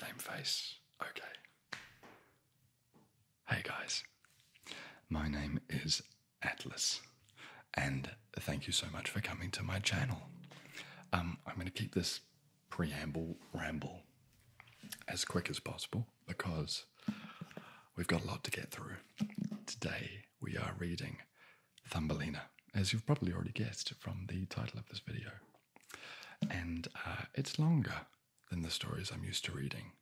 Nameface, okay. Hey guys, my name is Atlas, and thank you so much for coming to my channel. Um, I'm going to keep this preamble ramble as quick as possible because we've got a lot to get through. Today we are reading Thumbelina, as you've probably already guessed from the title of this video. And uh, it's longer than the stories I'm used to reading,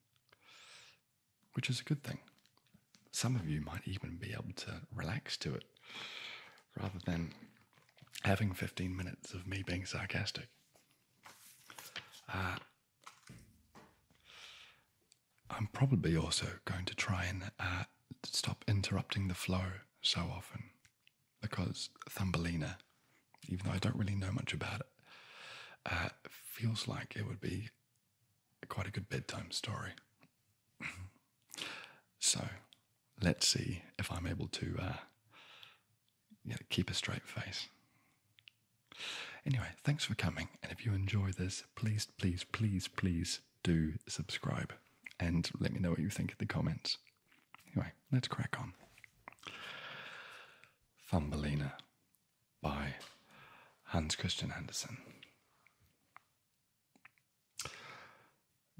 which is a good thing. Some of you might even be able to relax to it rather than having 15 minutes of me being sarcastic. Uh, I'm probably also going to try and uh, stop interrupting the flow so often because Thumbelina, even though I don't really know much about it, uh, feels like it would be quite a good bedtime story. so let's see if I'm able to uh, keep a straight face. Anyway, thanks for coming. And if you enjoy this, please, please, please, please do subscribe and let me know what you think in the comments. Anyway, let's crack on. Thumbelina by Hans Christian Andersen.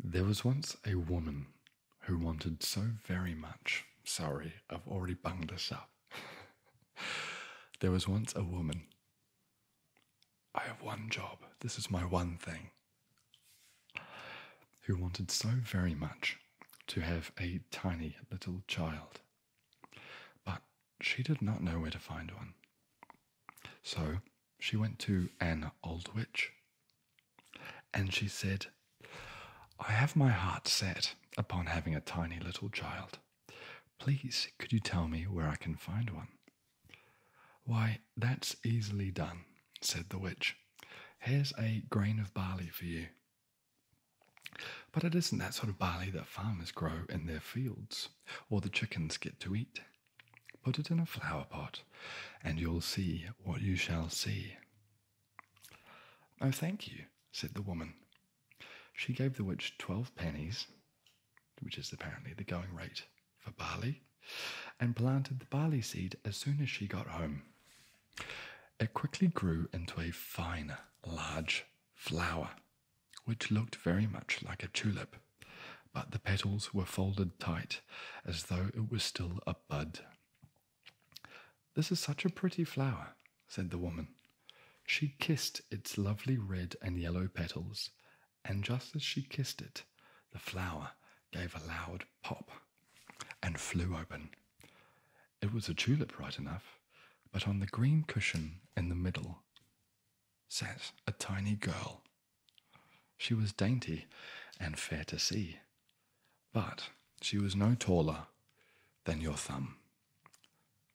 There was once a woman who wanted so very much. Sorry, I've already bunged this up. there was once a woman. I have one job. This is my one thing who wanted so very much to have a tiny little child. But she did not know where to find one. So she went to an old witch and she said, I have my heart set upon having a tiny little child. Please, could you tell me where I can find one? Why, that's easily done, said the witch. Here's a grain of barley for you. But it isn't that sort of barley that farmers grow in their fields, or the chickens get to eat. Put it in a flower pot, and you'll see what you shall see. Oh, thank you, said the woman. She gave the witch twelve pennies, which is apparently the going rate, for barley and planted the barley seed as soon as she got home. It quickly grew into a fine, large flower, which looked very much like a tulip, but the petals were folded tight as though it was still a bud. This is such a pretty flower, said the woman. She kissed its lovely red and yellow petals and just as she kissed it, the flower gave a loud pop and flew open. It was a tulip, right enough, but on the green cushion in the middle sat a tiny girl. She was dainty and fair to see, but she was no taller than your thumb.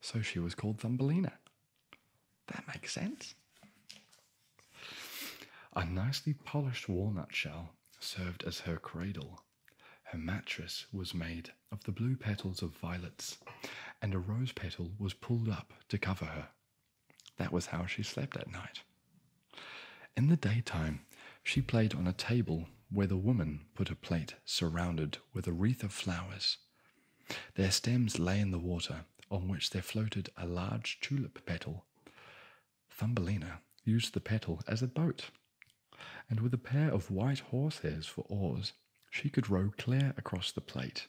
So she was called Thumbelina. That makes sense. A nicely polished walnut shell served as her cradle. Her mattress was made of the blue petals of violets, and a rose petal was pulled up to cover her. That was how she slept at night. In the daytime, she played on a table where the woman put a plate surrounded with a wreath of flowers. Their stems lay in the water, on which there floated a large tulip petal. Thumbelina used the petal as a boat, and with a pair of white horse hairs for oars, she could row clear across the plate.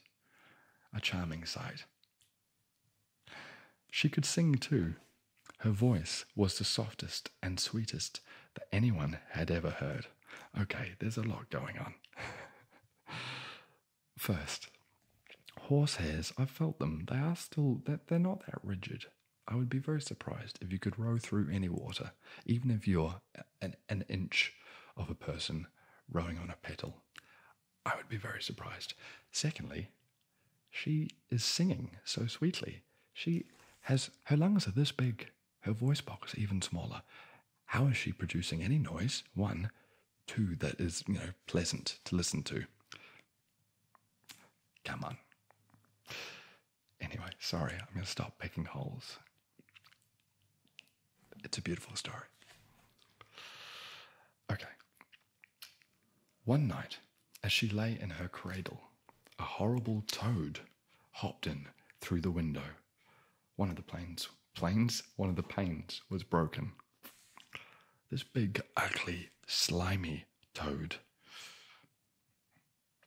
A charming sight. She could sing too. Her voice was the softest and sweetest that anyone had ever heard. Okay, there's a lot going on. First, horse hairs. I've felt them. They are still that they're not that rigid. I would be very surprised if you could row through any water, even if you're an, an inch of a person rowing on a petal. I would be very surprised. Secondly, she is singing so sweetly. She has her lungs are this big, her voice box even smaller. How is she producing any noise? One, too that is, you know, pleasant to listen to. Come on. Anyway, sorry, I'm going to stop picking holes. It's a beautiful story. Okay. One night, as she lay in her cradle, a horrible toad hopped in through the window. One of the planes, planes, one of the panes was broken, this big, ugly, slimy toad.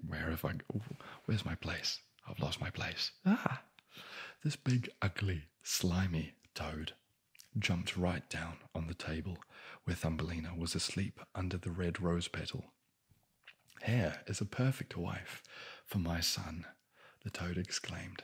Where have I? Oh, where's my place? I've lost my place. Ah! This big, ugly, slimy toad jumped right down on the table where Thumbelina was asleep under the red rose petal. Here is a perfect wife for my son, the toad exclaimed.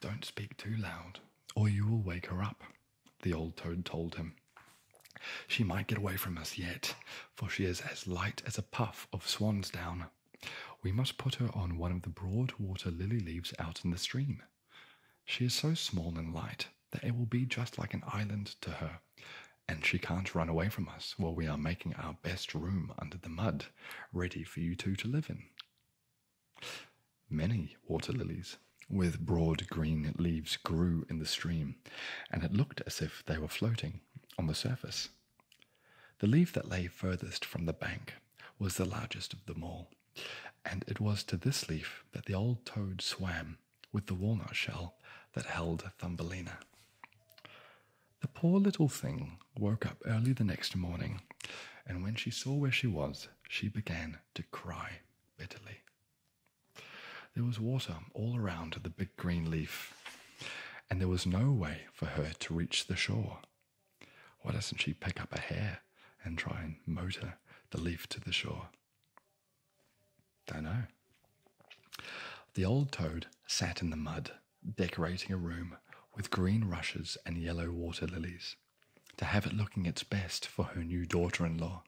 don't speak too loud, or you will wake her up, the old toad told him. She might get away from us yet, for she is as light as a puff of swan's down. We must put her on one of the broad water lily leaves out in the stream. She is so small and light that it will be just like an island to her, and she can't run away from us while we are making our best room under the mud ready for you two to live in. Many water lilies with broad green leaves grew in the stream, and it looked as if they were floating on the surface. The leaf that lay furthest from the bank was the largest of them all, and it was to this leaf that the old toad swam with the walnut shell that held Thumbelina. The poor little thing woke up early the next morning, and when she saw where she was, she began to cry bitterly. There was water all around the big green leaf, and there was no way for her to reach the shore. Why doesn't she pick up a hare and try and motor the leaf to the shore? Don't know. The old toad sat in the mud decorating a room with green rushes and yellow water lilies to have it looking its best for her new daughter in law.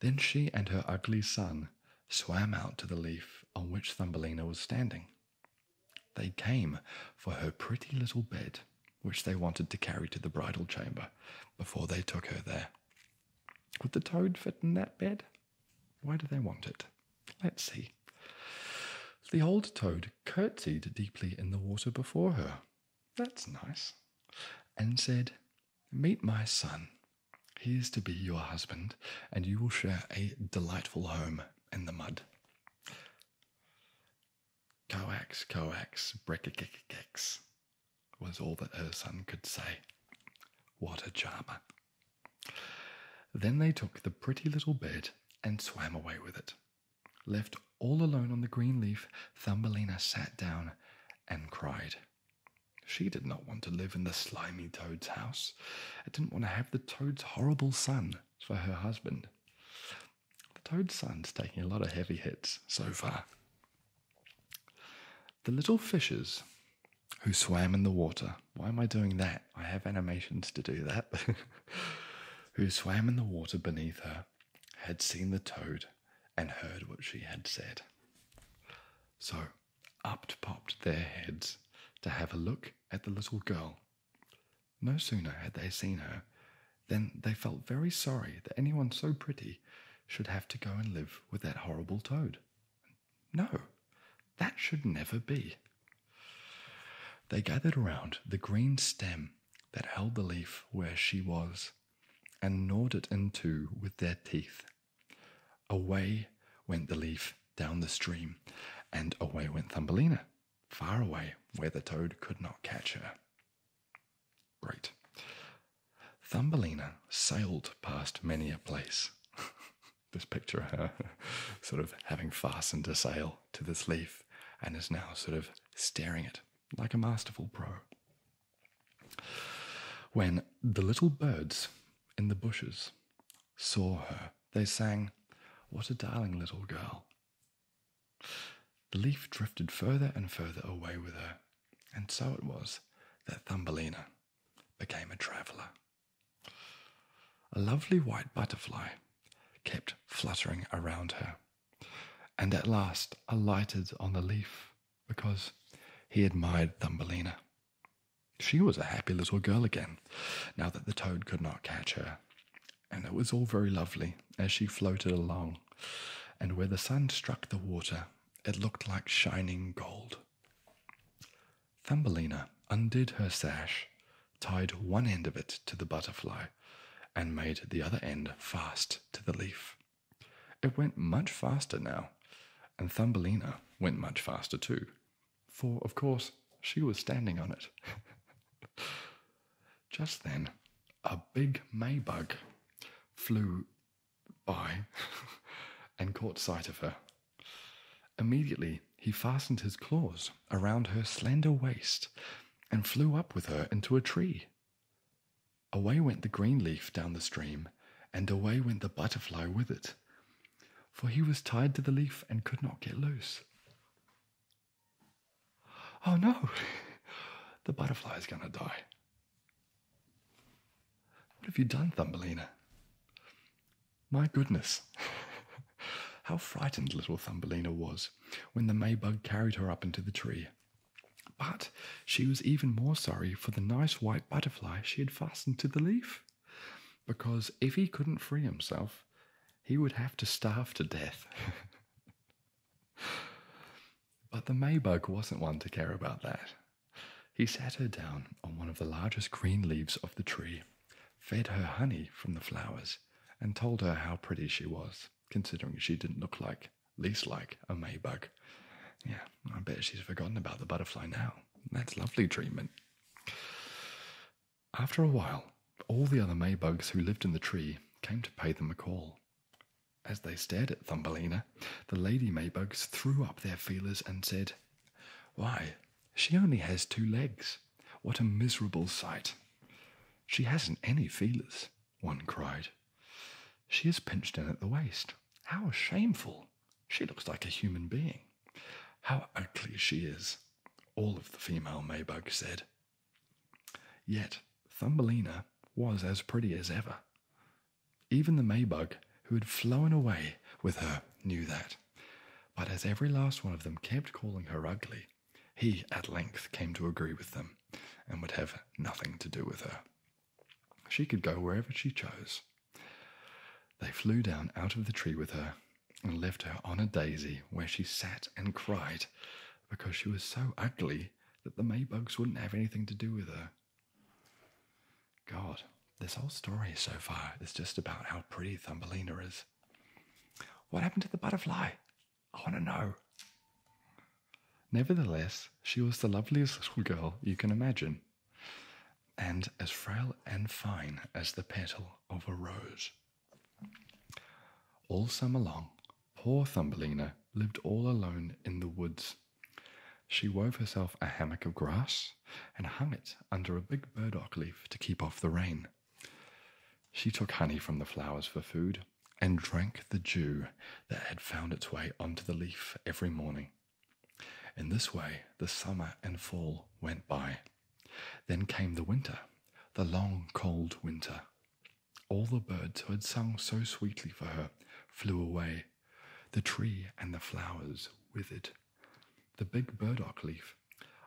Then she and her ugly son swam out to the leaf on which Thumbelina was standing. They came for her pretty little bed, which they wanted to carry to the bridal chamber before they took her there. Would the toad fit in that bed? Why do they want it? Let's see. The old toad curtsied deeply in the water before her. That's nice. And said, Meet my son. He is to be your husband, and you will share a delightful home in the mud. Coax, coax, breakakikakix was all that her son could say. What a charmer. Then they took the pretty little bird and swam away with it. Left all alone on the green leaf, Thumbelina sat down and cried. She did not want to live in the slimy toad's house and didn't want to have the toad's horrible son for her husband. The toad's son's taking a lot of heavy hits so far. The little fishes who swam in the water why am I doing that? I have animations to do that. Who swam in the water beneath her, had seen the toad, and heard what she had said. So up popped their heads to have a look at the little girl. No sooner had they seen her than they felt very sorry that anyone so pretty should have to go and live with that horrible toad. No, that should never be. They gathered around the green stem that held the leaf where she was, and gnawed it in two with their teeth. Away went the leaf down the stream, and away went Thumbelina, far away where the toad could not catch her. Great. Thumbelina sailed past many a place. this picture of her sort of having fastened a sail to this leaf and is now sort of staring it like a masterful pro. When the little birds in the bushes saw her, they sang, What a darling little girl! The leaf drifted further and further away with her, and so it was that Thumbelina became a traveller. A lovely white butterfly kept fluttering around her, and at last alighted on the leaf because he admired Thumbelina. She was a happy little girl again, now that the toad could not catch her, and it was all very lovely as she floated along, and where the sun struck the water, it looked like shining gold. Thumbelina undid her sash, tied one end of it to the butterfly, and made the other end fast to the leaf. It went much faster now, and Thumbelina went much faster too, for of course she was standing on it. Just then, a big maybug flew by and caught sight of her. Immediately he fastened his claws around her slender waist and flew up with her into a tree. Away went the green leaf down the stream, and away went the butterfly with it, for he was tied to the leaf and could not get loose. Oh no, the butterfly is going to die. What have you done, Thumbelina? My goodness! How frightened little Thumbelina was when the Maybug carried her up into the tree. But she was even more sorry for the nice white butterfly she had fastened to the leaf, because if he couldn't free himself, he would have to starve to death. but the Maybug wasn't one to care about that. He sat her down on one of the largest green leaves of the tree fed her honey from the flowers, and told her how pretty she was, considering she didn't look like, least like, a maybug. Yeah, I bet she's forgotten about the butterfly now. That's lovely treatment. After a while, all the other maybugs who lived in the tree came to pay them a call. As they stared at Thumbelina, the lady maybugs threw up their feelers and said, Why, she only has two legs. What a miserable sight! She hasn't any feelers, one cried. She is pinched in at the waist. How shameful! She looks like a human being. How ugly she is, all of the female Maybug said. Yet Thumbelina was as pretty as ever. Even the Maybug who had flown away with her knew that. But as every last one of them kept calling her ugly, he at length came to agree with them and would have nothing to do with her. She could go wherever she chose. They flew down out of the tree with her and left her on a daisy where she sat and cried because she was so ugly that the Maybugs wouldn't have anything to do with her. God, this whole story so far is just about how pretty Thumbelina is. What happened to the butterfly? I want to know. Nevertheless, she was the loveliest little girl you can imagine, and as frail and fine as the petal of a rose. All summer long, poor Thumbelina lived all alone in the woods. She wove herself a hammock of grass and hung it under a big burdock leaf to keep off the rain. She took honey from the flowers for food and drank the dew that had found its way onto the leaf every morning. In this way, the summer and fall went by. Then came the winter, the long, cold winter. All the birds who had sung so sweetly for her flew away. The tree and the flowers withered the big burdock leaf,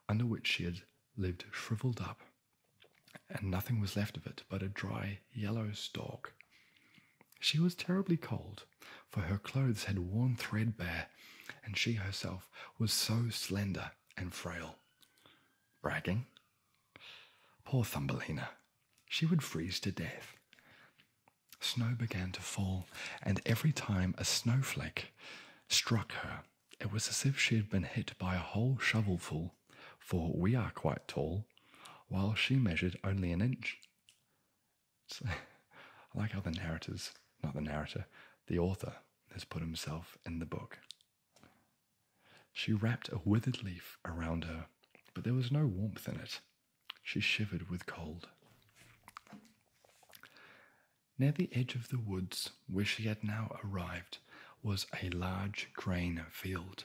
under which she had lived, shriveled up, and nothing was left of it but a dry yellow stalk. She was terribly cold, for her clothes had worn threadbare, and she herself was so slender and frail. ragging. Poor Thumbelina, she would freeze to death. Snow began to fall, and every time a snowflake struck her. It was as if she had been hit by a whole shovelful, for we are quite tall, while she measured only an inch. I like how the narrators, not the narrator, the author has put himself in the book. She wrapped a withered leaf around her, but there was no warmth in it. She shivered with cold. Near the edge of the woods, where she had now arrived, was a large grain field.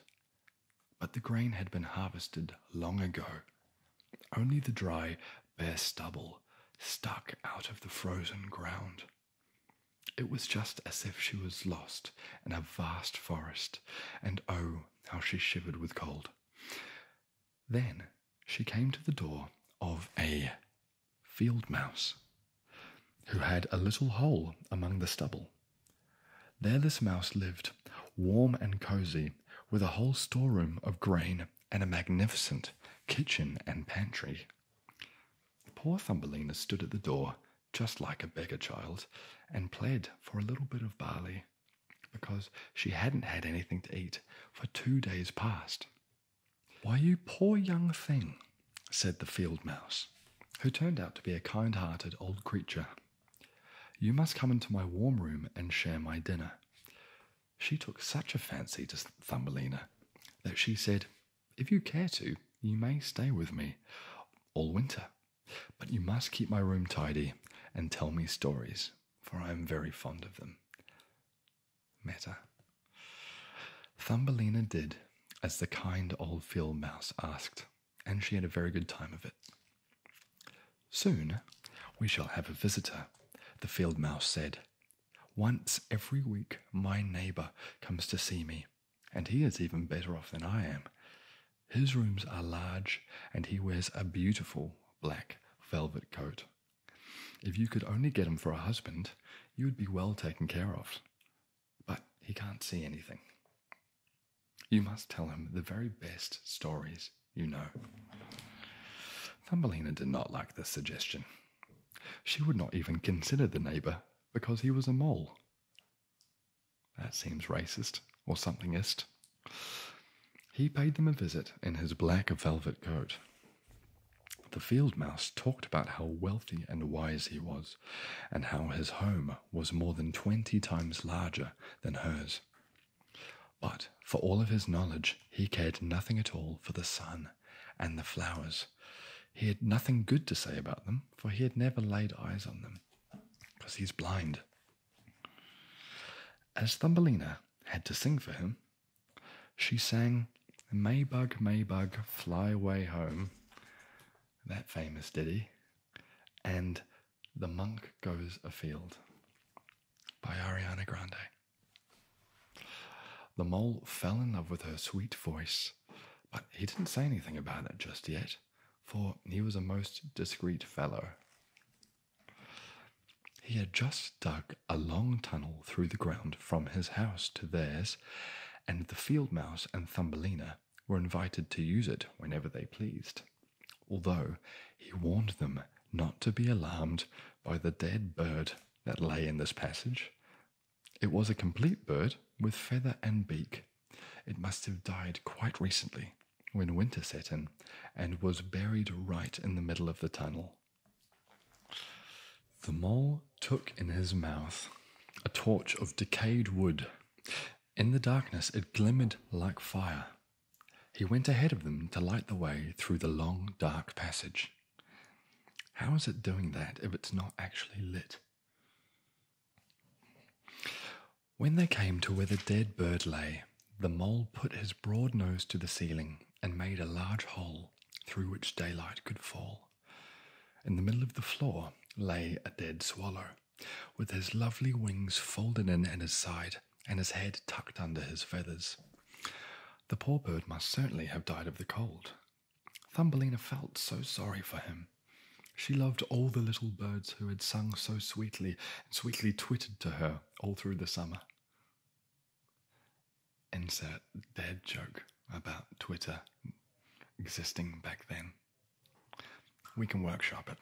But the grain had been harvested long ago. Only the dry, bare stubble stuck out of the frozen ground. It was just as if she was lost in a vast forest, and oh, how she shivered with cold. Then she came to the door of a field mouse who had a little hole among the stubble. There this mouse lived, warm and cosy, with a whole store room of grain and a magnificent kitchen and pantry. Poor Thumbelina stood at the door, just like a beggar child, and pled for a little bit of barley, because she hadn't had anything to eat for two days past. Why, you poor young thing, said the field mouse, who turned out to be a kind hearted old creature. You must come into my warm room and share my dinner. She took such a fancy to Thumbelina that she said, If you care to, you may stay with me all winter, but you must keep my room tidy and tell me stories, for I am very fond of them matter. Thumbelina did as the kind old field mouse asked, and she had a very good time of it. Soon we shall have a visitor, the field mouse said. Once every week my neighbour comes to see me, and he is even better off than I am. His rooms are large, and he wears a beautiful black velvet coat. If you could only get him for a husband, you would be well taken care of. But he can't see anything. You must tell him the very best stories you know. Thumbelina did not like this suggestion. She would not even consider the neighbour because he was a mole. That seems racist or somethingist. He paid them a visit in his black velvet coat the field mouse talked about how wealthy and wise he was, and how his home was more than twenty times larger than hers. But for all of his knowledge, he cared nothing at all for the sun and the flowers. He had nothing good to say about them, for he had never laid eyes on them, because he's blind. As Thumbelina had to sing for him, she sang "May bug, may bug, Fly Away Home, that famous ditty, and The Monk Goes Afield by Ariana Grande. The mole fell in love with her sweet voice, but he didn't say anything about it just yet, for he was a most discreet fellow. He had just dug a long tunnel through the ground from his house to theirs, and the field mouse and Thumbelina were invited to use it whenever they pleased, although he warned them not to be alarmed by the dead bird that lay in this passage. It was a complete bird with feather and beak. It must have died quite recently when winter set in and was buried right in the middle of the tunnel. The mole took in his mouth a torch of decayed wood. In the darkness it glimmered like fire. He went ahead of them to light the way through the long dark passage. How is it doing that if it's not actually lit? When they came to where the dead bird lay, the mole put his broad nose to the ceiling and made a large hole through which daylight could fall. In the middle of the floor lay a dead swallow, with his lovely wings folded in at his side and his head tucked under his feathers. The poor bird must certainly have died of the cold. Thumbelina felt so sorry for him. She loved all the little birds who had sung so sweetly and sweetly twittered to her all through the summer. Insert dead joke about Twitter existing back then. We can workshop it.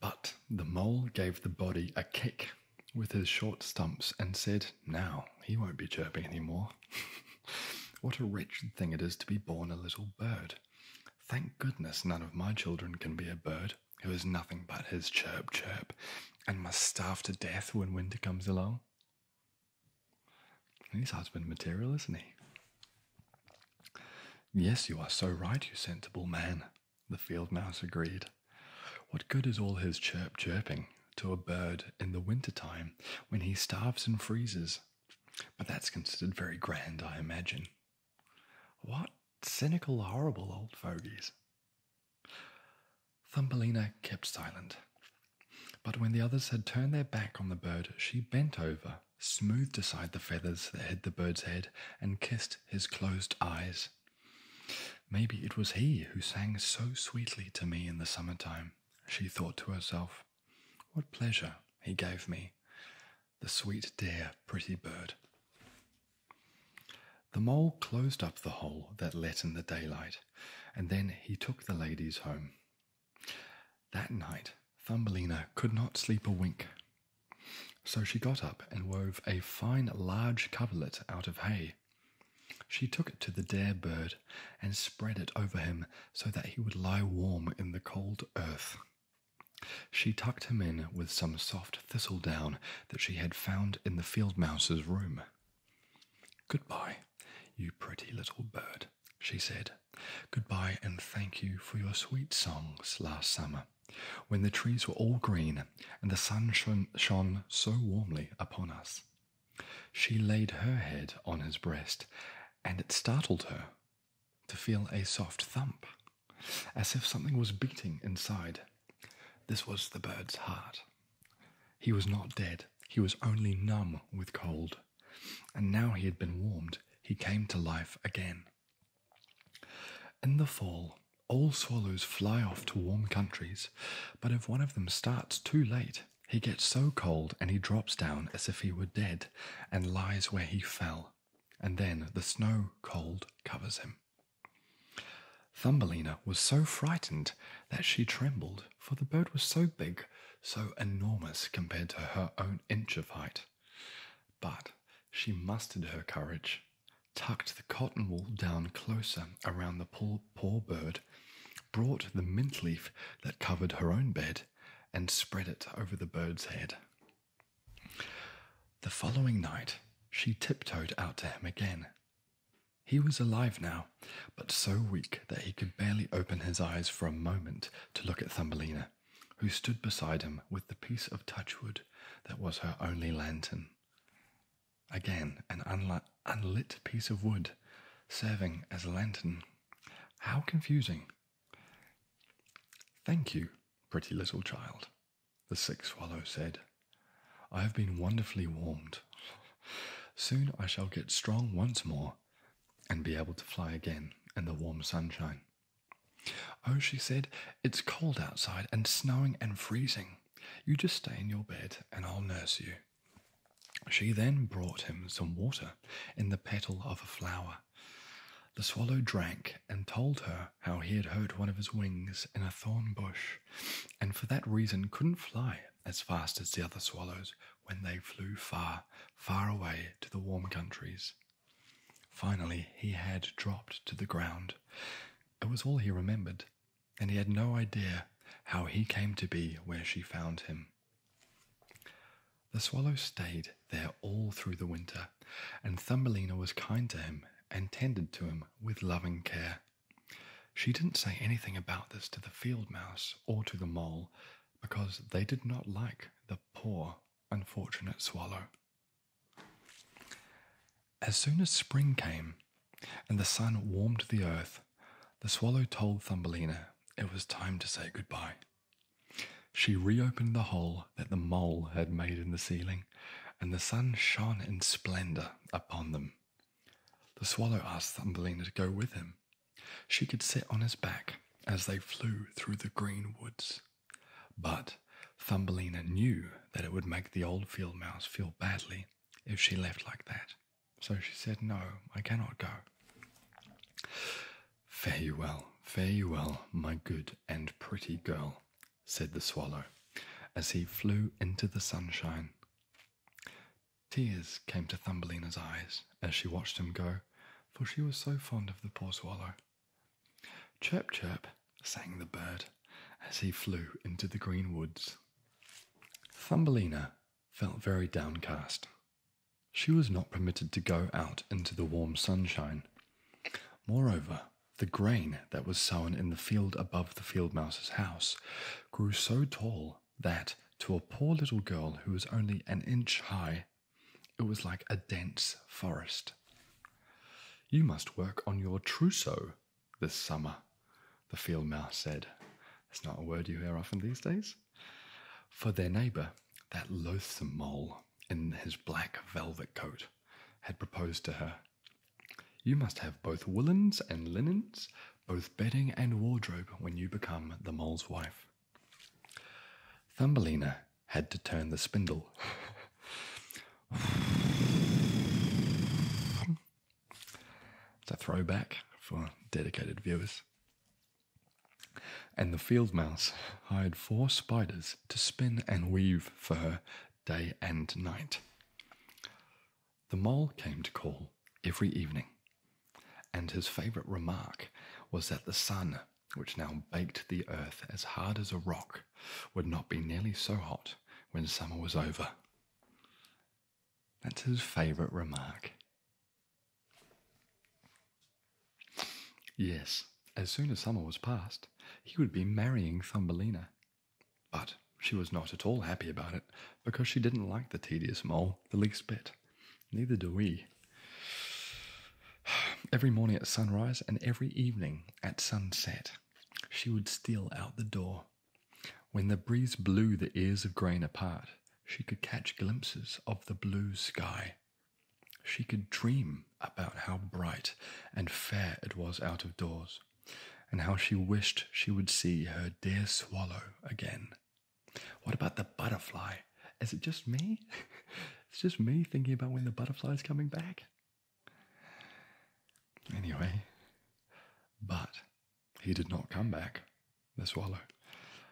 But the mole gave the body a kick with his short stumps and said, Now he won't be chirping any more." what a wretched thing it is to be born a little bird. Thank goodness none of my children can be a bird bird who is nothing but his chirp chirp and must starve to death when winter comes along. He's husband material, isn't he? Yes, you are so right, you sensible man, the field mouse agreed. What good is all his chirp chirping to a bird in the winter time when he starves and freezes? But that's considered very grand, I imagine. What cynical, horrible old fogies. Thumbelina kept silent, but when the others had turned their back on the bird, she bent over, smoothed aside the feathers that hid the bird's head, and kissed his closed eyes. Maybe it was he who sang so sweetly to me in the summer time. she thought to herself. What pleasure he gave me, the sweet, dear, pretty bird. The mole closed up the hole that let in the daylight, and then he took the ladies home. That night, Thumbelina could not sleep a wink. So she got up and wove a fine large coverlet out of hay. She took it to the dare bird and spread it over him so that he would lie warm in the cold earth. She tucked him in with some soft thistle down that she had found in the field mouse's room. Goodbye, you pretty little bird, she said. Goodbye, and thank you for your sweet songs last summer, when the trees were all green and the sun shone, shone so warmly upon us. She laid her head on his breast, and it startled her to feel a soft thump, as if something was beating inside. This was the bird's heart. He was not dead, he was only numb with cold, and now he had been warmed, he came to life again. In the fall, all swallows fly off to warm countries, but if one of them starts too late, he gets so cold and he drops down as if he were dead and lies where he fell, and then the snow cold covers him him. Thumbelina was so frightened that she trembled, for the bird was so big, so enormous compared to her own inch of height. But she mustered her courage, tucked the cotton wool down closer around the poor, poor bird, brought the mint leaf that covered her own bed, and spread it over the bird's head. The following night, she tiptoed out to him again he was alive now, but so weak that he could barely open his eyes for a moment to look at Thumbelina, who stood beside him with the piece of touchwood that was her only lantern. Again, an unlit piece of wood serving as a lantern. How confusing! Thank you, pretty little child, the sick swallow said, I have been wonderfully warmed. Soon I shall get strong once more and be able to fly again in the warm sunshine. Oh, she said, it's cold outside and snowing and freezing. You just stay in your bed and I'll nurse you. She then brought him some water in the petal of a flower. The swallow drank and told her how he had hurt one of his wings in a thorn bush, and for that reason couldn't fly as fast as the other swallows when they flew far, far away to the warm countries. Finally, he had dropped to the ground. It was all he remembered, and he had no idea how he came to be where she found him. The swallow stayed there all through the winter, and Thumbelina was kind to him and tended to him with loving care. She didn't say anything about this to the field mouse or to the mole because they did not like the poor, unfortunate swallow. As soon as spring came and the sun warmed the earth, the swallow told Thumbelina it was time to say goodbye. She reopened the hole that the mole had made in the ceiling and the sun shone in splendor upon them. The swallow asked Thumbelina to go with him. She could sit on his back as they flew through the green woods. But Thumbelina knew that it would make the old field mouse feel badly if she left like that. So she said, No, I cannot go. Fare you well, fare you well, my good and pretty girl, said the swallow, as he flew into the sunshine. Tears came to Thumbelina's eyes as she watched him go, for she was so fond of the poor swallow. Chirp, chirp, sang the bird as he flew into the green woods. Thumbelina felt very downcast. She was not permitted to go out into the warm sunshine. Moreover, the grain that was sown in the field above the field mouse's house grew so tall that, to a poor little girl who was only an inch high, it was like a dense forest. You must work on your trousseau this summer, the field mouse said. It's not a word you hear often these days. For their neighbour, that loathsome mole in his black velvet coat, had proposed to her you must have both woolens and linens, both bedding and wardrobe when you become the mole's wife. Thumbelina had to turn the spindle. it's a throwback for dedicated viewers. And the field mouse hired four spiders to spin and weave for her day and night. The mole came to call every evening, and his favourite remark was that the sun, which now baked the earth as hard as a rock, would not be nearly so hot when summer was over. That's his favourite remark. Yes, as soon as summer was past, he would be marrying Thumbelina but she was not at all happy about it, because she didn't like the tedious mole the least bit. Neither do we. Every morning at sunrise and every evening at sunset, she would steal out the door. When the breeze blew the ears of grain apart, she could catch glimpses of the blue sky. She could dream about how bright and fair it was out of doors and how she wished she would see her dear swallow again. What about the butterfly? Is it just me? it's just me thinking about when the butterfly's coming back. Anyway, but he did not come back, the swallow,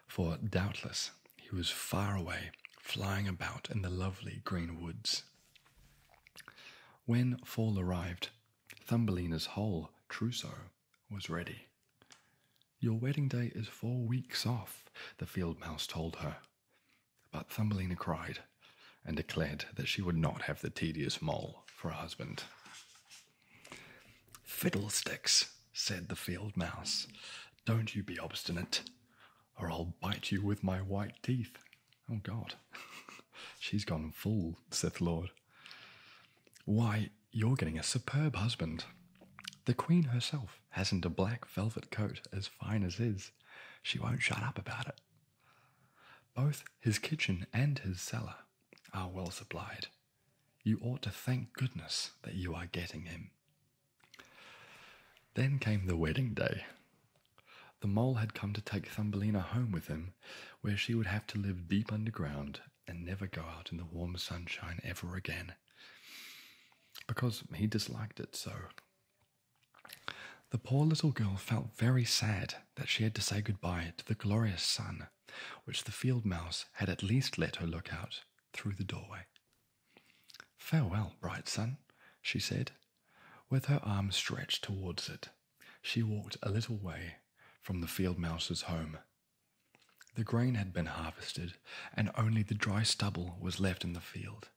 for doubtless he was far away, flying about in the lovely green woods. When fall arrived, Thumbelina's whole trousseau was ready. Your wedding day is four weeks off, the field mouse told her. But Thumbelina cried and declared that she would not have the tedious mole for a husband. Fiddlesticks, said the field mouse. Don't you be obstinate, or I'll bite you with my white teeth. Oh God, she's gone full Sith Lord. Why, you're getting a superb husband. The Queen herself hasn't a black velvet coat as fine as his. She won't shut up about it. Both his kitchen and his cellar are well supplied. You ought to thank goodness that you are getting him. Then came the wedding day. The mole had come to take Thumbelina home with him, where she would have to live deep underground and never go out in the warm sunshine ever again, because he disliked it so. The poor little girl felt very sad that she had to say good-bye to the glorious sun, which the field mouse had at least let her look out through the doorway. Farewell, bright sun, she said, with her arms stretched towards it. She walked a little way from the field mouse's home. The grain had been harvested, and only the dry stubble was left in the field.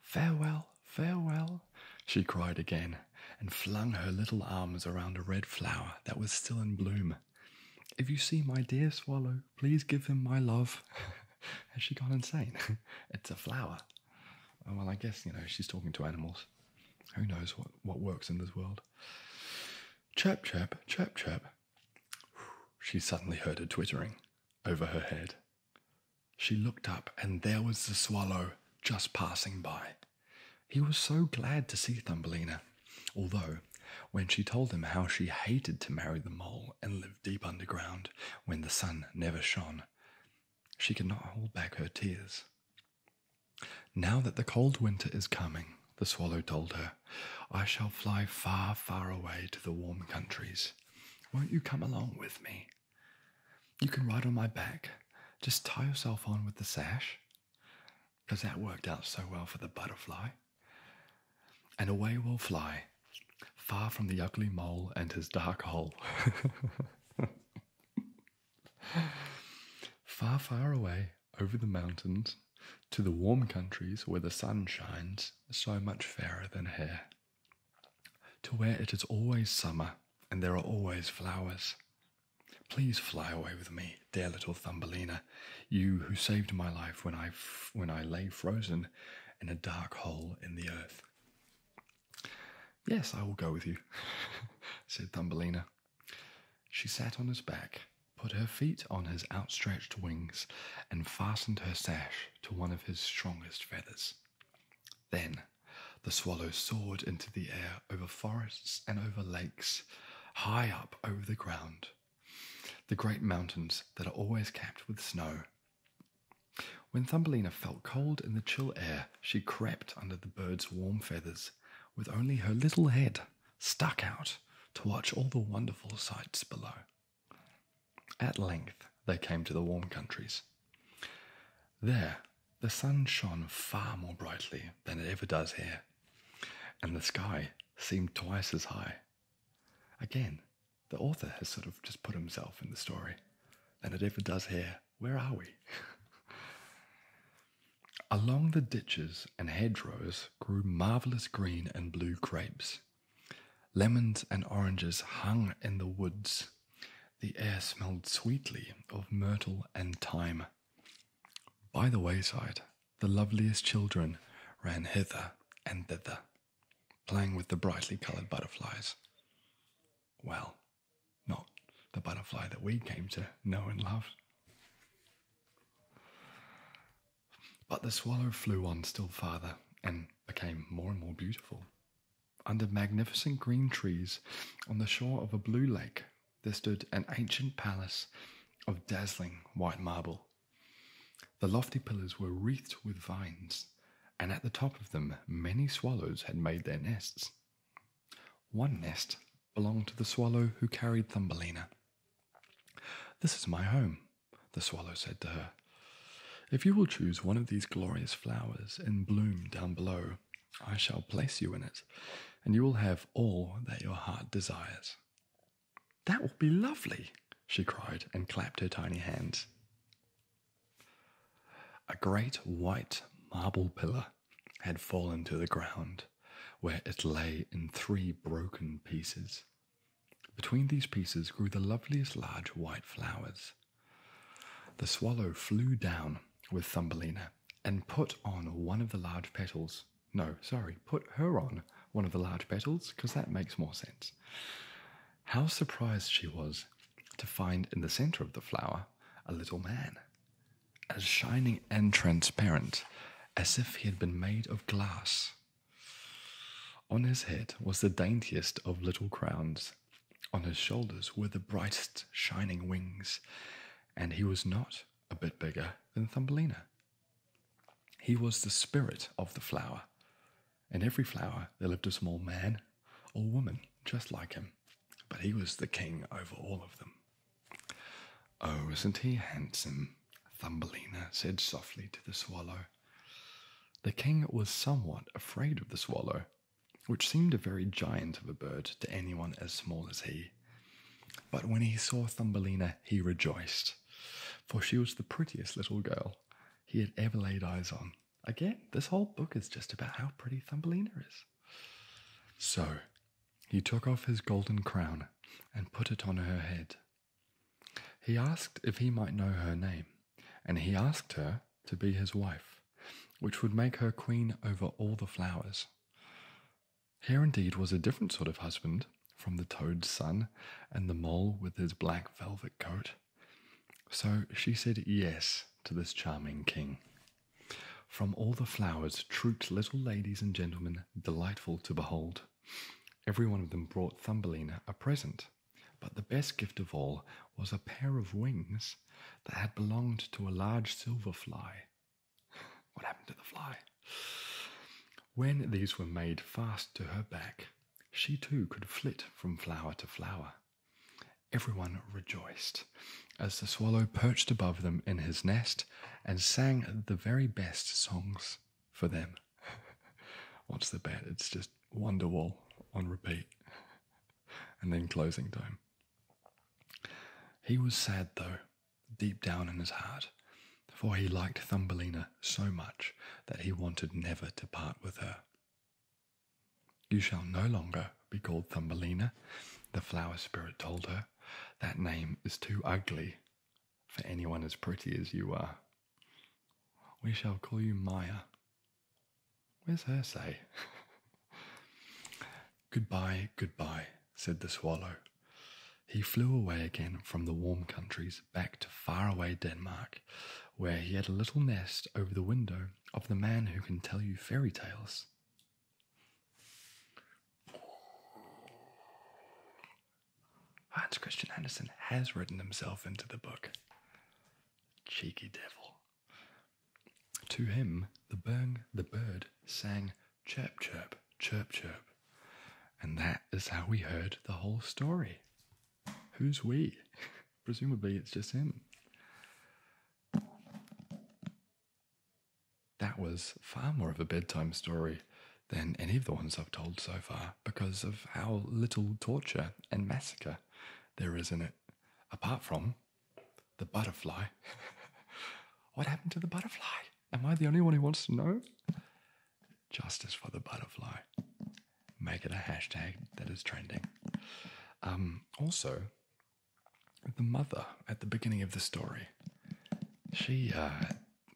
Farewell, farewell, she cried again, and flung her little arms around a red flower that was still in bloom. If you see my dear swallow, please give him my love. Has she gone insane? it's a flower. Oh, well, I guess, you know, she's talking to animals. Who knows what, what works in this world? Chirp, chirp, chirp, chirp. She suddenly heard a twittering over her head. She looked up, and there was the swallow just passing by. He was so glad to see Thumbelina, although, when she told him how she hated to marry the mole and live deep underground when the sun never shone, she could not hold back her tears. Now that the cold winter is coming, the swallow told her, I shall fly far, far away to the warm countries. Won't you come along with me? You can ride on my back. Just tie yourself on with the sash, because that worked out so well for the butterfly. And away we'll fly, far from the ugly mole and his dark hole. far, far away over the mountains to the warm countries where the sun shines so much fairer than here, to where it is always summer and there are always flowers. Please fly away with me, dear little Thumbelina, you who saved my life when I, when I lay frozen in a dark hole in the earth. Yes, I will go with you, said Thumbelina. She sat on his back, put her feet on his outstretched wings, and fastened her sash to one of his strongest feathers. Then the swallow soared into the air over forests and over lakes, high up over the ground, the great mountains that are always capped with snow. When Thumbelina felt cold in the chill air, she crept under the bird's warm feathers, with only her little head stuck out to watch all the wonderful sights below. At length they came to the warm countries. There the sun shone far more brightly than it ever does here, and the sky seemed twice as high. Again, the author has sort of just put himself in the story than it ever does here where are we? Along the ditches and hedgerows grew marvellous green and blue grapes. Lemons and oranges hung in the woods. The air smelled sweetly of myrtle and thyme. By the wayside, the loveliest children ran hither and thither, playing with the brightly coloured butterflies. Well, not the butterfly that we came to know and love. But the swallow flew on still farther and became more and more beautiful. Under magnificent green trees, on the shore of a blue lake, there stood an ancient palace of dazzling white marble. The lofty pillars were wreathed with vines, and at the top of them, many swallows had made their nests. One nest belonged to the swallow who carried Thumbelina. This is my home, the swallow said to her. If you will choose one of these glorious flowers in bloom down below, I shall place you in it, and you will have all that your heart desires. That will be lovely, she cried and clapped her tiny hands. A great white marble pillar had fallen to the ground, where it lay in three broken pieces. Between these pieces grew the loveliest large white flowers. The swallow flew down with Thumbelina and put on one of the large petals. No, sorry, put her on one of the large petals, because that makes more sense. How surprised she was to find in the center of the flower a little man, as shining and transparent as if he had been made of glass. On his head was the daintiest of little crowns, on his shoulders were the brightest shining wings, and he was not a bit bigger than Thumbelina. He was the spirit of the flower. In every flower there lived a small man or woman just like him, but he was the king over all of them. Oh, isn't he handsome? Thumbelina said softly to the swallow. The king was somewhat afraid of the swallow, which seemed a very giant of a bird to anyone as small as he. But when he saw Thumbelina, he rejoiced, for she was the prettiest little girl he had ever laid eyes on. Again, this whole book is just about how pretty Thumbelina is. So he took off his golden crown and put it on her head. He asked if he might know her name, and he asked her to be his wife, which would make her queen over all the flowers. Here indeed was a different sort of husband from the toad's son and the mole with his black velvet coat. So she said yes to this charming king. From all the flowers trooped little ladies and gentlemen, delightful to behold. Every one of them brought Thumbelina a present, but the best gift of all was a pair of wings that had belonged to a large silver fly. What happened to the fly? When these were made fast to her back, she too could flit from flower to flower, Everyone rejoiced as the swallow perched above them in his nest and sang the very best songs for them. What's the bet? It's just Wonderwall on repeat and then closing time. He was sad though, deep down in his heart, for he liked Thumbelina so much that he wanted never to part with her. You shall no longer be called Thumbelina, the flower spirit told her. That name is too ugly for anyone as pretty as you are. We shall call you Maya. Where's her say? goodbye, goodbye, said the swallow. He flew away again from the warm countries back to far away Denmark, where he had a little nest over the window of the man who can tell you fairy tales. Hans Christian Andersen has written himself into the book. Cheeky devil. To him, the bung, the bird sang chirp, chirp, chirp, chirp. And that is how we heard the whole story. Who's we? Presumably, it's just him. That was far more of a bedtime story than any of the ones I've told so far because of how little torture and massacre there is in it. Apart from the butterfly. what happened to the butterfly? Am I the only one who wants to know? Justice for the butterfly. Make it a hashtag that is trending. Um, also, the mother at the beginning of the story. She, uh,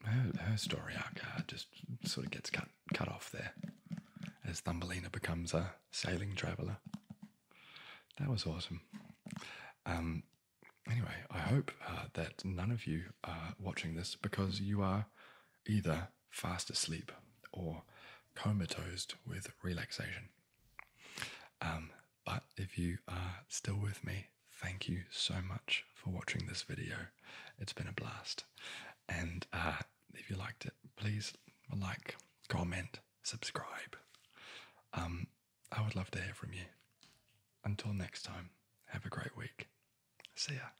her, her story uh, just sort of gets cut cut off there as Thumbelina becomes a sailing traveller. That was awesome. Um, anyway, I hope uh, that none of you are watching this because you are either fast asleep or comatose with relaxation. Um, but if you are still with me, thank you so much for watching this video. It's been a blast. And uh, if you liked it, please like, comment, subscribe. Um, I would love to hear from you. Until next time, have a great week. See ya.